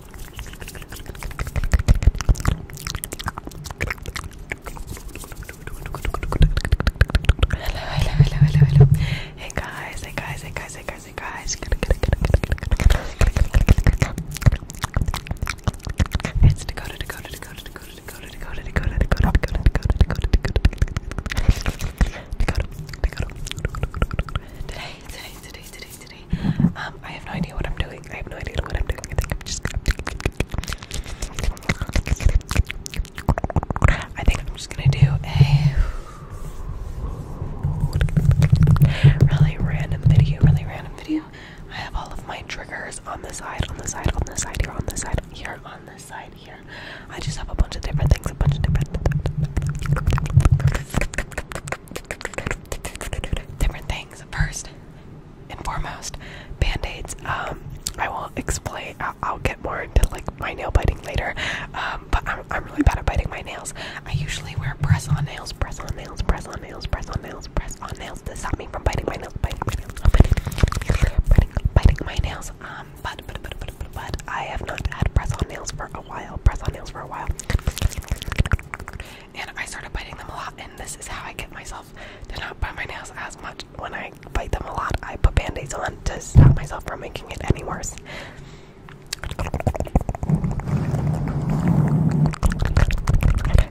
hello, hello, hello, hello. Hey guys, hey guys, hey guys, hey guys, hey guys. It's Dakota, Dakota, Dakota, Dakota, Dakota, Dakota, Dakota, Dakota, Dakota, Dakota, Dakota, Dakota, Dakota, Dakota, Dakota. Today, today, today, today, um, I have no idea what I'm doing. I have no idea what I'm doing. I think I'm just gonna I think I'm just gonna do a really random video, really random video. I have all of my triggers on the side, on the side, on the side, here, on the side, here, on the side, here. I just have a bunch of different things, a bunch of different different things. First, and foremost, band-aids. Um, I will explain. I'll, get more into like my nail biting later. Um, but I'm, I'm really bad at biting my nails. I usually wear press-on nails, press-on nails, press-on nails, press-on nails, press-on nails to stop me from biting my nails, biting my nails, biting, my nails. Um, but, but but but but I have not had press-on nails for a while. Press-on nails for a while and I started biting them a lot. And this is how I get myself to not bite my nails as much. When I bite them a lot, I put band aids on to stop myself from making it any worse.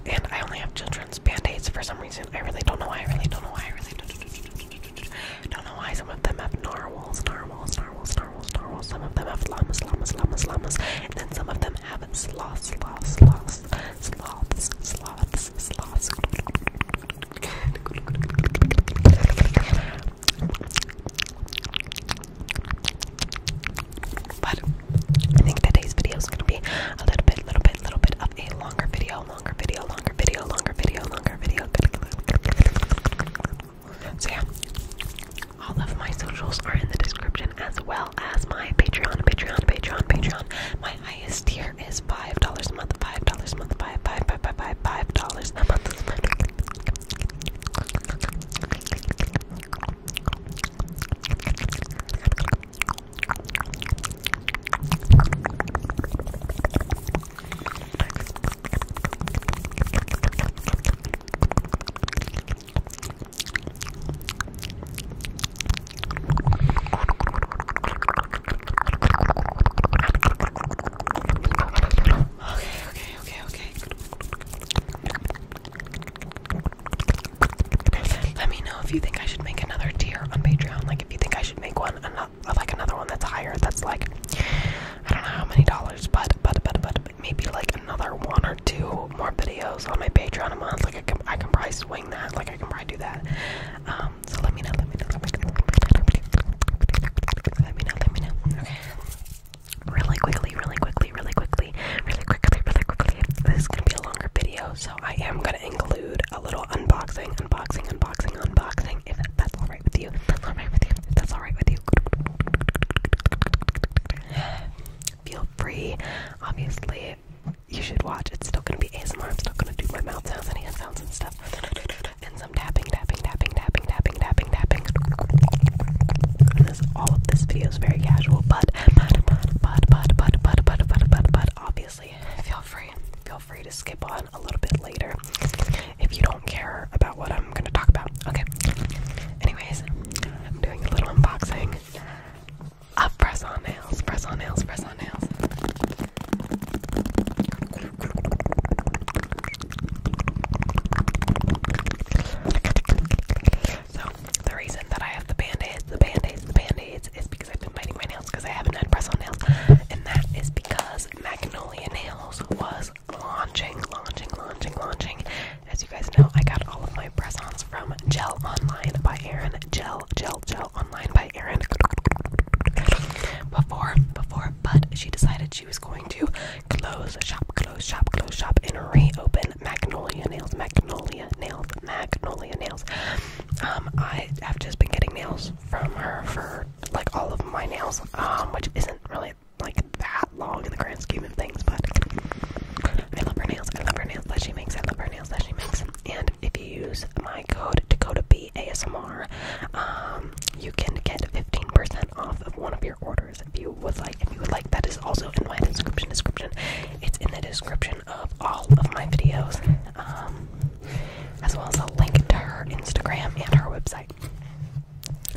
And I only have children's band aids for some reason. I really don't know why. I really don't know why. I really don't know why. Some of them have narwhals, narwhals, narwhals, narwhals, narwhals. Some of them have llamas, llamas, llamas, llamas. And then some of them but I think today's video is gonna be a little bit, little bit, little bit of a longer video, longer video, longer video, longer video, longer video. So yeah, all of my socials are in the description as well as my Patreon, Patreon, Patreon, Patreon. My highest tier is five dollars a month, five dollars a month, five, five, five, five, five, five dollars a month. Okay, okay, okay, okay. Let me know if you think I should make another tier on Patreon. Like, if you think I should make one, another, like another one that's higher. That's like, I don't know how many dollars, but, but, but, but, maybe like another one or two more videos on my Patreon a month. Like I can, I can probably swing that. Like I can probably do that. Um, so let me know. Let me know. Let me know. Let me know. Let me know. Okay. Really quickly. Really quickly. Really quickly. Really quickly. Really quickly. This is gonna be a longer video, so I am gonna include a little unboxing, unboxing, unboxing, unboxing. If that's all right with you. That's all right with you. That's all right with you feel free. Obviously, you should watch. It's still gonna be ASMR. I'm still gonna do my mouth sounds and hand sounds and stuff, and some tapping, tapping, tapping, tapping, tapping, tapping, tapping. this, all of this video is very casual, but but but but but but but but but but but obviously, feel free. Feel free to skip on a little bit later if you don't care about what I'm gonna talk about. Okay. Anyways, I'm doing a little unboxing of ah, press on nails, press on nails, press on nails. So, the reason that I have the band aids, the band aids, the band aids is because I've been biting my nails because I haven't had press on nails, and that is because Magnolia Nails was launching, launching, launching, launching, as you guys know, I got all of my press-ons from Gel Online by Erin. Gel, Gel, Gel Online by Erin. Before, before, but she decided she was going to close shop, close shop, close shop, and reopen Magnolia Nails, Magnolia Nails, Magnolia Nails. Um, I have just been getting nails from her for like all of my nails, um, which isn't really like that long in the grand scheme of things, but I love her nails. I love her nails that she makes. I love her nails that she makes. And if you use my code to Dakota B ASMR, um, you can get 15% off of one of your orders if you would like. If you would like, that is also in my description. Description. It's in the description of all of my videos, um, as well as a link to her Instagram and her website.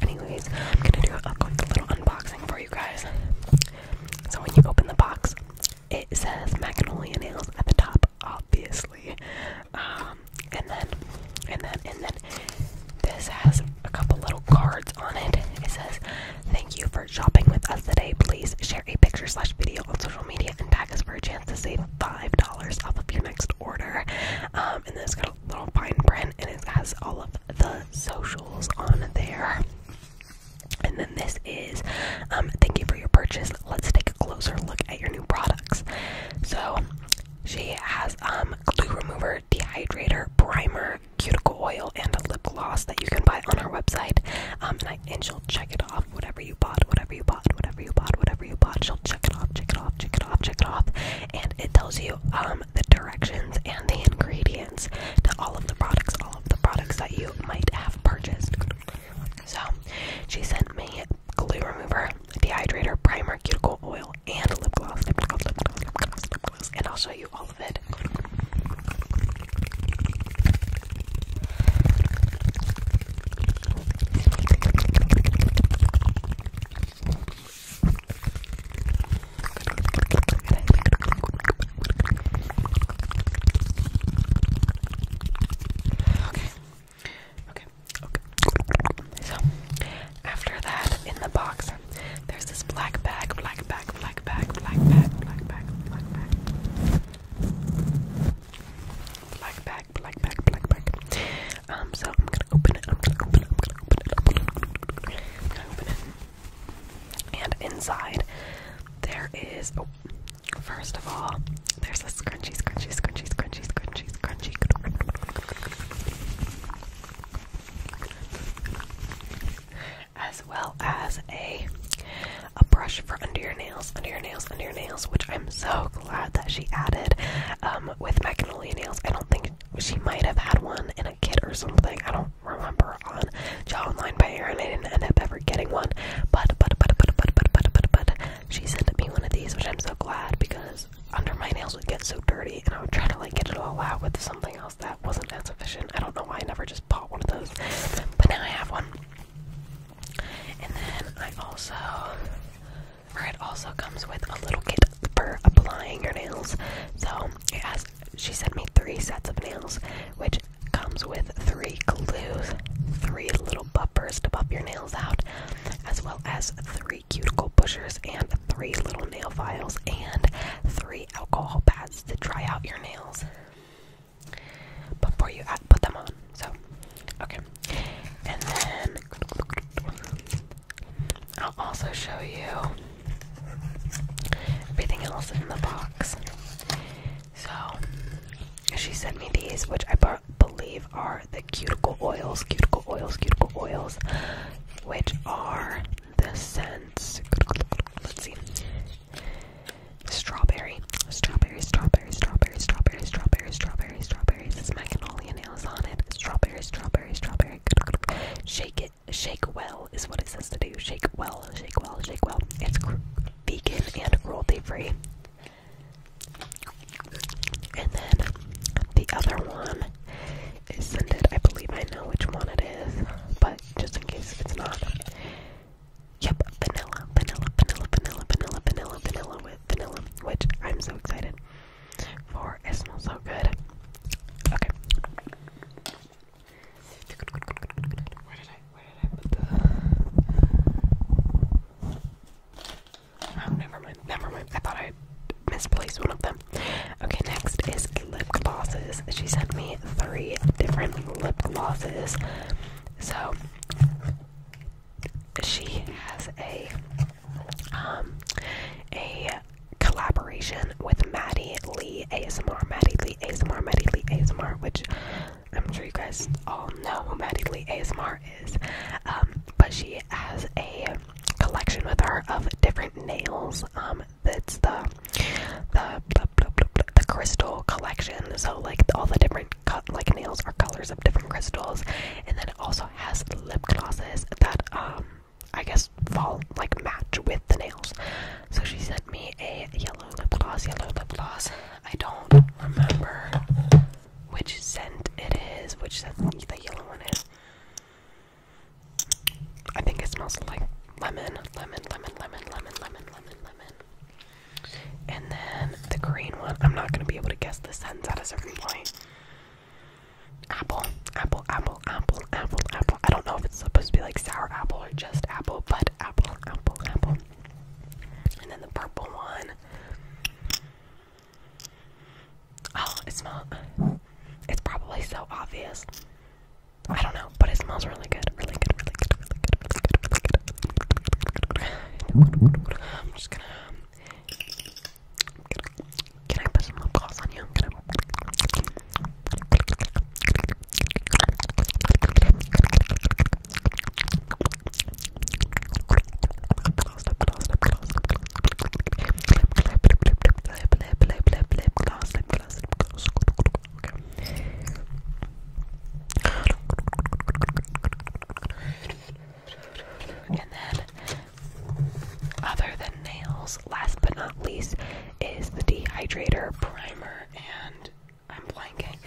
Anyways, I'm gonna do a quick little unboxing for you guys. So when you open the box, it says Magnolia Nails at the top, obviously. Um, and then, and then, and then, this has a couple little cards on it. It says, "Thank you for shopping with us today. Please share a picture slash video on social media and tag us for a chance to save five dollars off of your next order." Um, and then it's got a little fine print, and it has all of the socials on there. And then this is um, thank you for your purchase. Let's take a closer look at your new products. So she has um, glue remover, dehydrator, primer, cuticle oil, and a lip gloss that you can buy on our website. Um, and, and she'll check it off whatever you bought, whatever you bought, whatever you bought, whatever you bought. She'll check it off, check it off, check it off, check it off, and it tells you um, the directions and the ingredients to all of the products, all of the products that you might have purchased. So she sent me glue remover, dehydrator, primer, cuticle oil, and lip lip gloss, and I'll show you all of it. Okay. Okay. Okay. So after that, in the box, there's this black bag, black bag, black bag, black bag, black bag, black bag. Black bag, black bag, black bag. Um, so I'm gonna open it, I'm gonna open it, I'm gonna open it, I'm gonna open it. I'm gonna open it. And inside, there is. Oh, first of all, there's a scrunchy, scrunchy, scrunchy, scrunchy, scrunchy, scrunchy. As well as a a brush for under your nails, under your nails, under your nails, which I'm so glad that she added um, with Magnolia nails. I don't think she might have had one in a kit or something. I don't remember on John Line by Erin. I didn't end up ever getting one. But but but but but but but but but she sent me one of these, which I'm so glad because under my nails would get so dirty, and I would try to like get it all out with something else that wasn't as efficient. I don't know why I never just bought one of those, but now I have one. And then I also, or it also comes with a little kit for applying your nails. So it has she sent me three sets of nails, which comes with three glues, three little bumpers to buff your nails out, as well as three cuticle pushers and three little nail files and three alcohol pads to dry out your nails before you put them on. So, okay. And then I'll also show you everything else in the box. So she sent me these, which I believe are the cuticle oils, cuticle oils, cuticle oils, which are the scents. Let's see. Strawberry, strawberry, strawberry, strawberry, strawberry, strawberry, strawberry, strawberry. This is my cannoli nails on it. Strawberry, strawberry, strawberry. Shake it it shake well is what it says to do. Shake well, shake well, shake well. It's vegan and cruelty free. And then the other one is scented. I believe I know which one it is, but just in case it's not. Yep, vanilla, vanilla, vanilla, vanilla, vanilla, vanilla, vanilla with vanilla, which I'm so excited for. It smells so good. Okay. Where did I where did I put the Oh never mind, never mind. I thought I misplaced one of them. Okay, next is lip glosses. She sent me three different lip glosses. So she has a um a collaboration with Maddie Lee ASMR, Maddie Lee ASMR, Maddie Lee ASMR, which I'm sure you guys all know who Maddie Lee ASMR is. Um, but she has a collection with her of different nails. Um, that's the the the crystal collection. So like all the different cut like nails are colors of different crystals, and then it also has lip glosses that um I guess fall like match with the nails. So she sent me a yellow lip gloss, yellow lip gloss. I don't remember which scent it is, which scent the yellow one is. I think it smells like lemon, lemon, lemon, lemon, lemon, lemon, lemon, lemon. And then the green one. I'm not gonna be able to guess the scents at a certain point apple, apple, apple, apple, apple, apple. I don't know if it's supposed to be like sour apple or just apple, but apple, apple, apple. And then the purple one. Oh, it smells. It's probably so obvious. I don't know, but it smells really good. Really good, really good, really good, really good, really good. Really good. I'm just gonna. Can I put some lip gloss on you? Can I... And then other than nails, last but not least, is the dehydrator primer and I'm blanking.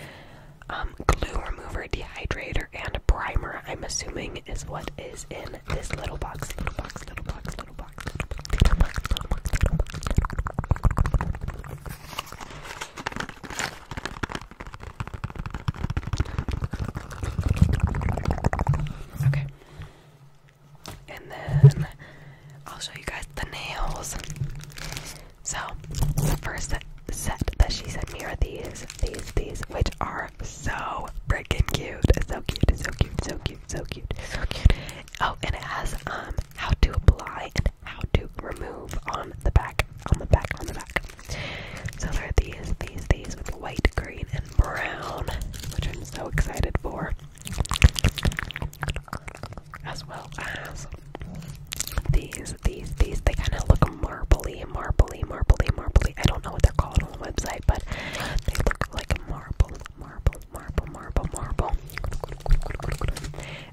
Um, glue remover, dehydrator, and primer, I'm assuming, is what is in this little box. Little box, little box, little box, little box, little box, little box, little box, little box. Okay. And then I'll show you guys the nails. So, the first set that she sent me are these, these, these, which are so freaking cute. So cute, so cute, so cute, so cute, so cute. Oh, and it has um how to apply and how to remove on the back, on the back, on the back. So there are these, these, these with white, green, and brown, which I'm so excited for as well as these, these, these. They kind of look marbly, marbly, marbly, marbly. I don't know what they're called on the website, but they look like marble, marble, marble, marble, marble.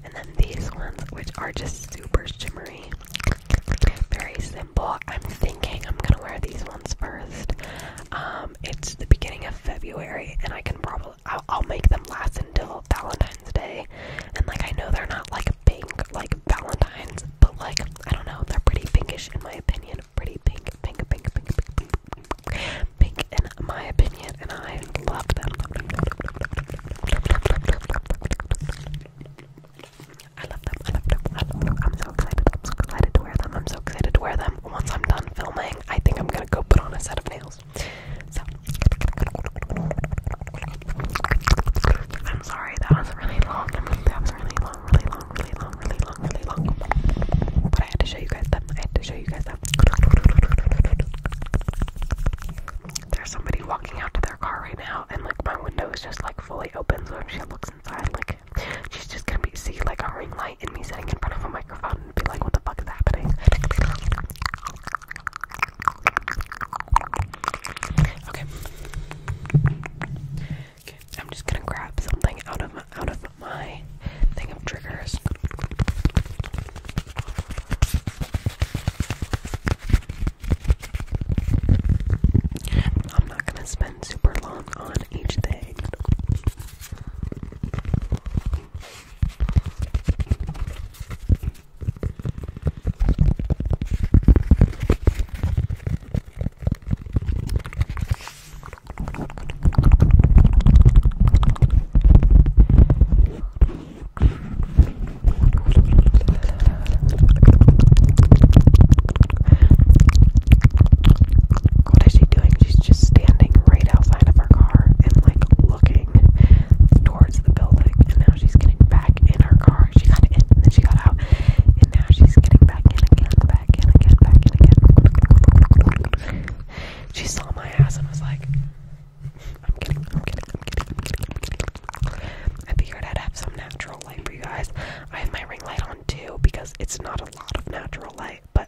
And then these ones, which are just super shimmery, very simple. I'm thinking I'm gonna wear these ones first. Um, um, it's the beginning of February, and I can probably I'll, I'll make them last until Valentine's Day. And like I know they're not like pink like Valentine's, but like I don't know, they're pretty pinkish in my opinion. Pretty pink, pink, pink, pink, pink, pink, pink in my opinion, and I love them. I love them. I love them. I love them. I love them. I'm so so excited. I'm so excited to wear them. I'm so excited to wear them. Once I'm done filming, I think I'm gonna go put on a set of nails. So I'm sorry that was really long. I mean, that was really long, really long, really long, really long, really long. But I had to show you guys that. I had to show you guys that. There's somebody walking out to their car right now, and like my window is just like fully open, so if she looks inside, like She's just gonna be see like a ring light in me sitting in front of a microphone and be like, what the fuck is happening? Okay. I'm just gonna grab something out of my, out of my thing of triggers. I'm not gonna spend super long on each thing. What is she doing? She's just standing right outside of our car and like looking towards the building. And now she's getting back in her car. She got in and then she got out. And now she's getting back in again, back in again, back in again. She saw my ass and was like, I'm kidding, I'm kidding, I'm kidding, I'm kidding, I'm kidding. I figured I'd have some natural light for you guys. I have my ring light too because it's not a lot of natural light, but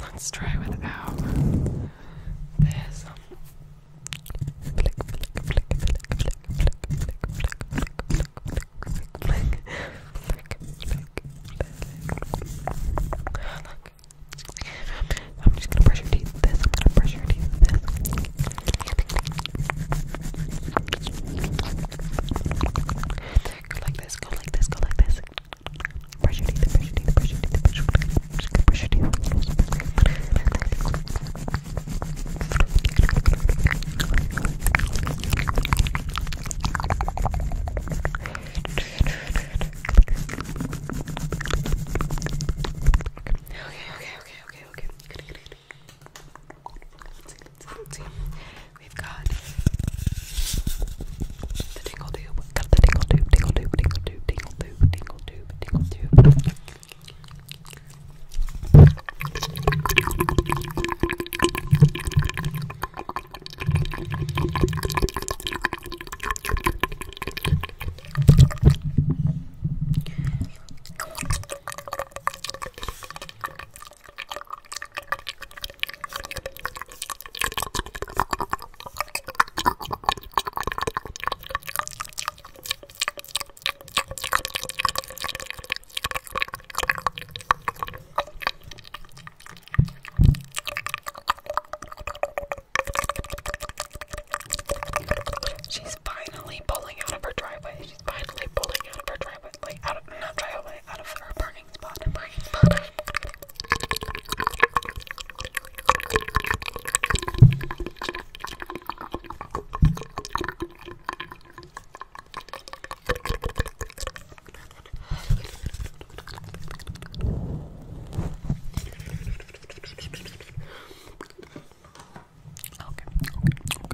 Let's try without this. Flick, I'm just gonna brush your teeth this. Go like this, go like this, go like this. Brush your teeth, brush your teeth, brush your teeth, brush your teeth, brush your teeth. Okay, okay, okay, okay, okay. Good, good, good. Let's see, let's see, let's see. We've got the tingle tube. Got the tingle tube, tingle tube, tingle tube, tingle tube, tingle tube, tingle tube. She's finally pulling out of her driveway. She's finally pulling out of her driveway. Like out of not driveway, way out of her parking spot. Her parking spot. Okay, okay, okay,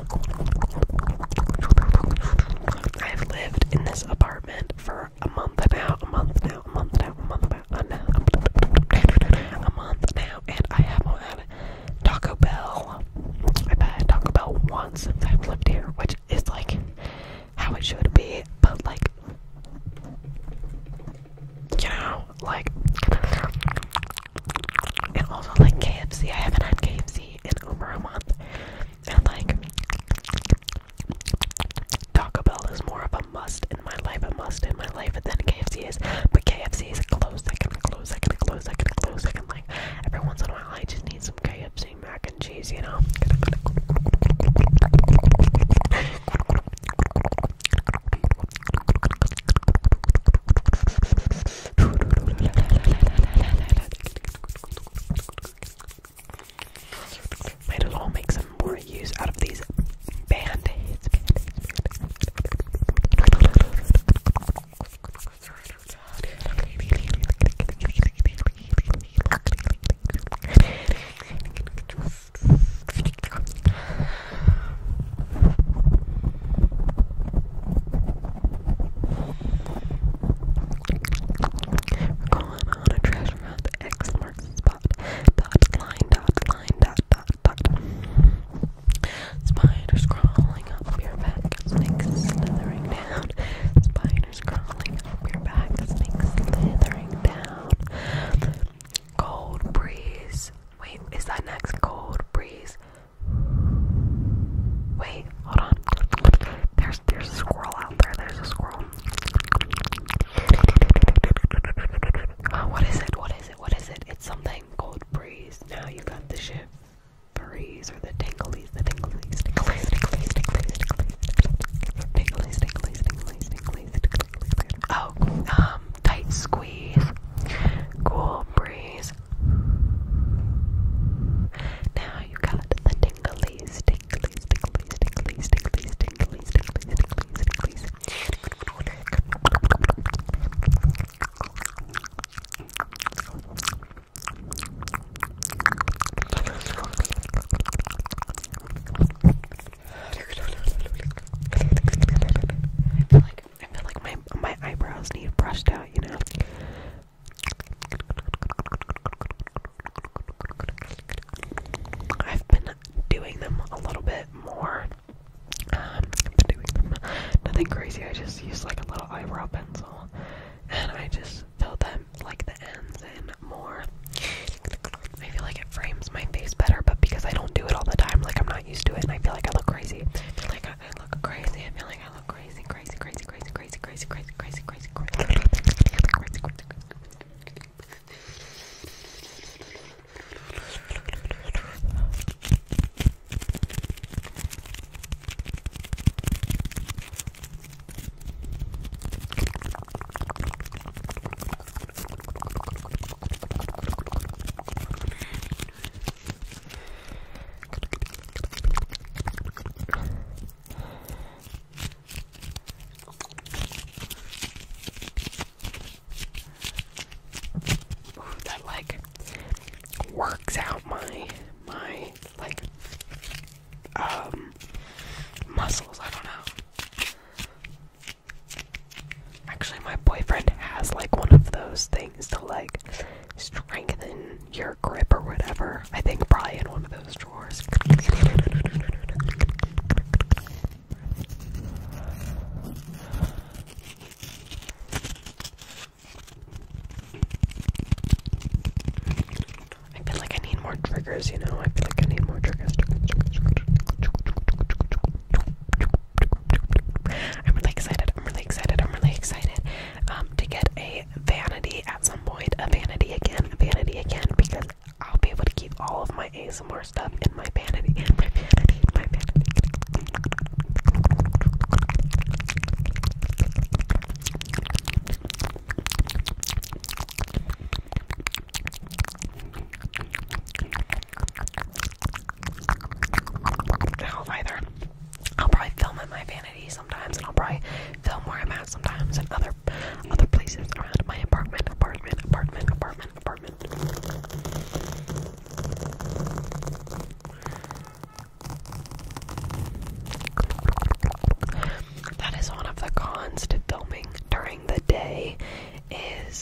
I have lived in this apartment for a month now, a month now, a month now, a month now, month now, a month now, and I haven't had Taco Bell. I've had Taco Bell once since I've lived here, which is like how it should be, but like, you know, like and also like KFC. I haven't had KFC in over a month. And like Taco Bell is more of a must in my life, a must in my life But then KFC is. But KFC is close second, close second, close second, close second. Like every once in a while I just need some KFC mac and cheese, you know. Might as well make some more use out of these band-aids we on a trash round. X marks spot. Dot line, dot line, dot dot dot. Spiders crawling up your back, snakes slithering down. Spiders crawling up your back, snakes slithering down. Cold breeze. Wait, is that next cold breeze? Wait, hold on. There's there's a squirrel out there. There's a squirrel. what is it? What is it? What is it? It's something called breeze. Now you got the shit. Breeze or the tinglies, the tinglies, tinglies, tinglies, tinglies, tinglies, tinglies, tinglies, tinglies, tinglies, Oh, um, tight squeeze, cool breeze. Now you got the tinglies, tinglies, tinglies, tinglies, tinglies, tinglies, tinglies, tinglies, tinglies. I feel like my my eyebrows need brushed out, you know. I've been doing them a little bit more. Um, nothing crazy. I just use like a little eyebrow pencil, and I just fill them like the ends in more. I feel like it frames my face better, but because I don't do it all the time, like I'm not used to it, and I feel like I look crazy. I, I look crazy. I feel like I look crazy, crazy, crazy, crazy, crazy, crazy, crazy, crazy, crazy, crazy, crazy, crazy, crazy that like works out my my like um muscles, I don't know. Actually, my boyfriend has like one of those things to like strengthen your grip or whatever. I think probably in one of those drawers. I feel like I need more triggers, you know? I feel like I need more triggers. I'm really excited. I'm really excited. I'm really excited um, to get a vanity at some point. A vanity again. A vanity again because I'll be able to keep all of my ASMR stuff in my vanity. In my vanity. In my vanity. I will probably film at my vanity sometimes, and I'll probably film where I'm at sometimes, and other other places around my apartment, apartment, apartment, apartment, apartment. That is one of the cons to filming during the day. Is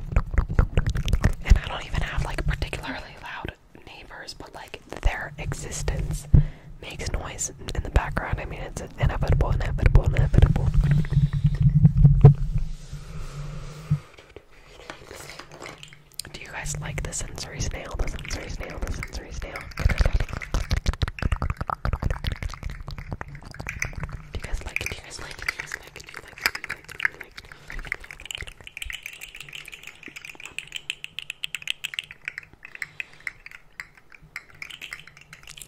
And I don't even have like particularly loud neighbors, but like their existence makes noise in the background. I mean, it's inevitable, inevitable, inevitable. Do you guys like the sensory snail? The sensory snail, the sensory snail. Do you guys like Do you guys like Do you guys like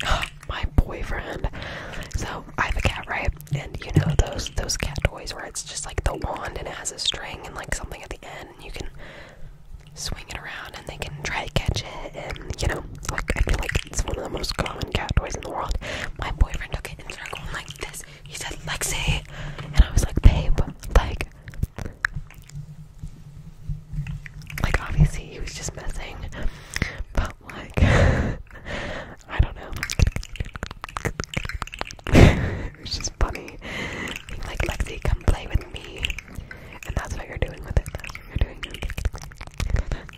My boyfriend. So I have a cat, right? And you know those those cat toys where it's just like the wand and it has a string and like something at the end, and you can swing it around and they can try to catch it. And you know, like I feel like it's one of the most common cat toys in the world. My boyfriend took and started going like this. He said, Lexi. And I was like, babe, like, like obviously he was just messing. But like, I don't know. it's just funny. like, Lexi, come play with me. And that's what you're doing with it. That's what you're doing. That's what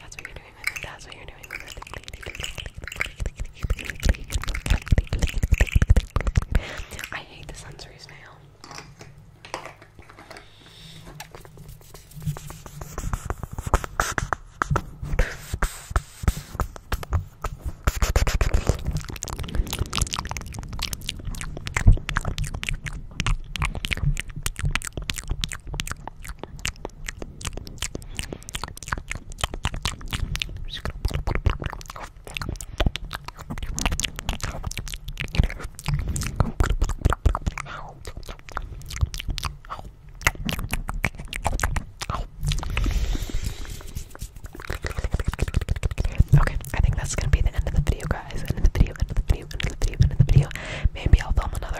that's what you're doing with it. That's what you're doing with it. I hate the sensory snail. Okay, I think that's gonna be the end of the video, guys. End of the video, end of the video, end of the video, end of the video. Maybe I'll film another